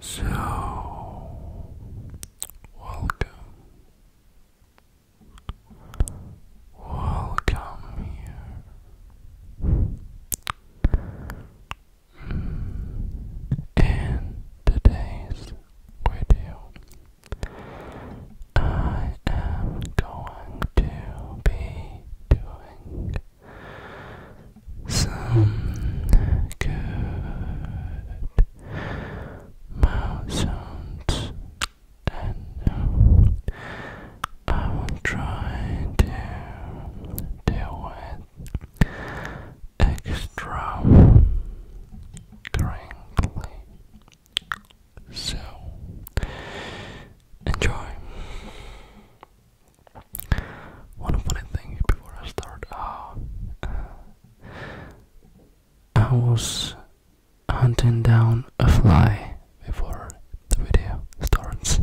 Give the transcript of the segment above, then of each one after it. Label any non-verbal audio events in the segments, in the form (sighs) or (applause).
So, welcome, welcome here. In today's video, I am going to be doing some good sounds, and I will try to deal with extra crinkly. So enjoy. One funny thing before I start, uh, uh, I was hunting down a fly before the video starts.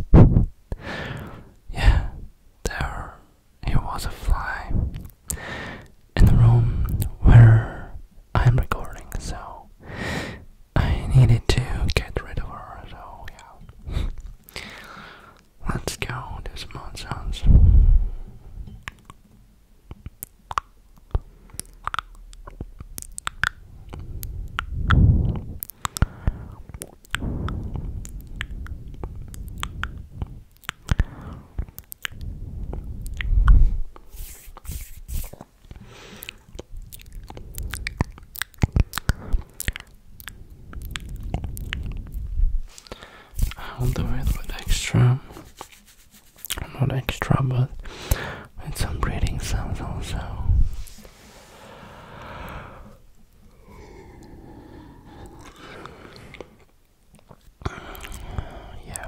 yeah, there it was a fly in the room where I'm recording, so I needed to get rid of her, so yeah. Let's go do some mod sounds. I'll do it with extra, not extra, but with some breathing sounds also. Yeah.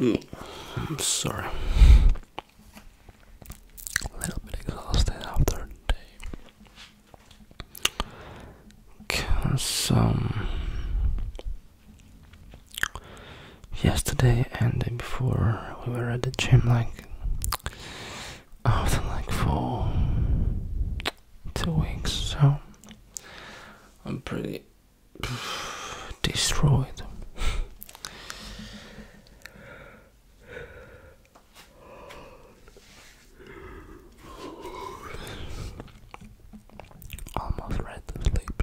I'm mm, sorry. A little bit exhausted after day. Okay, um, yesterday and before we were at the gym like after like for two weeks so I'm pretty (sighs) destroyed (sighs) Almost ready to sleep.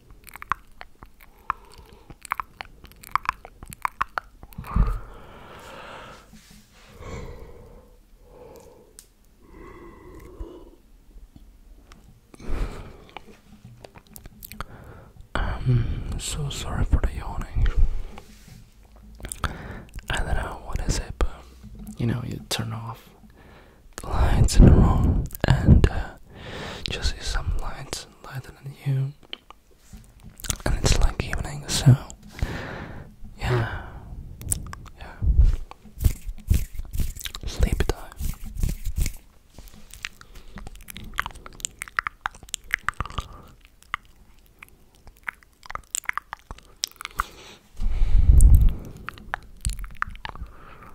I'm um, so sorry for the yawning. I don't know what is it, but you know, you turn off the lights in the room, and just uh, some lights lighter than you. And it's like evening, so yeah, yeah. Sleepy time.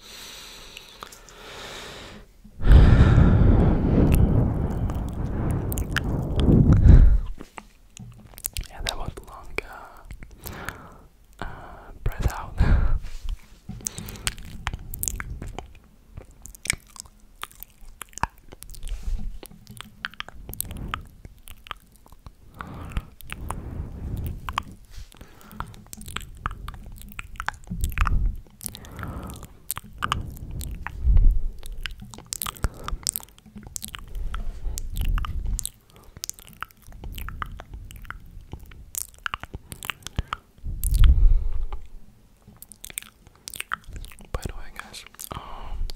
(sighs) Yeah, that was long uh, uh, breath out. (laughs) (laughs) By the way, guys, um,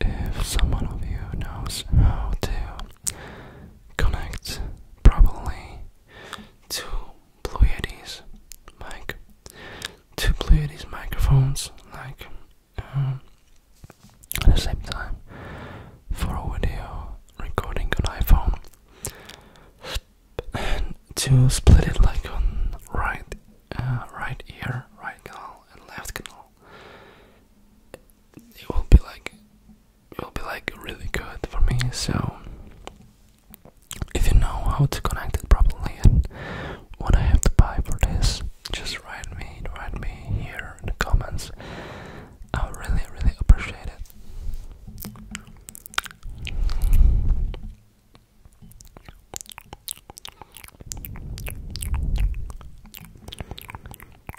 if someone of you knows how to connect properly to Blue Yeti's mic, to Blue Yeti's microphones, like um, at the same time for a video recording on iPhone, and to split it like on right, uh, right ear, right canal, and left canal. It will be like will be like really good for me. So, if you know how to connect it properly and what I have to buy for this, just write me, write me here in the comments. I really, really appreciate it.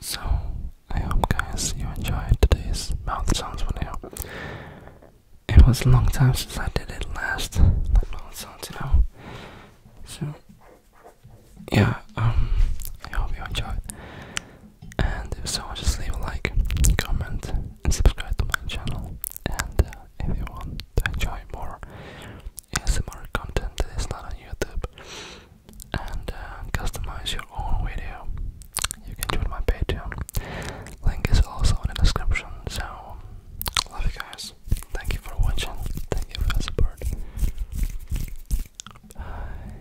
So, I hope guys you enjoyed today's mouth sounds video. It was a long time since I did it last, mouth sounds, you So, yeah, um, I hope you enjoyed. And if so, just leave a like, comment, and subscribe to my channel. And uh, if you want to enjoy more ASMR content that is not on YouTube and uh, customize your own video, you can join my Patreon. Link is also in the description. So, love you guys. Thank you for watching. Thank you for your support. Bye.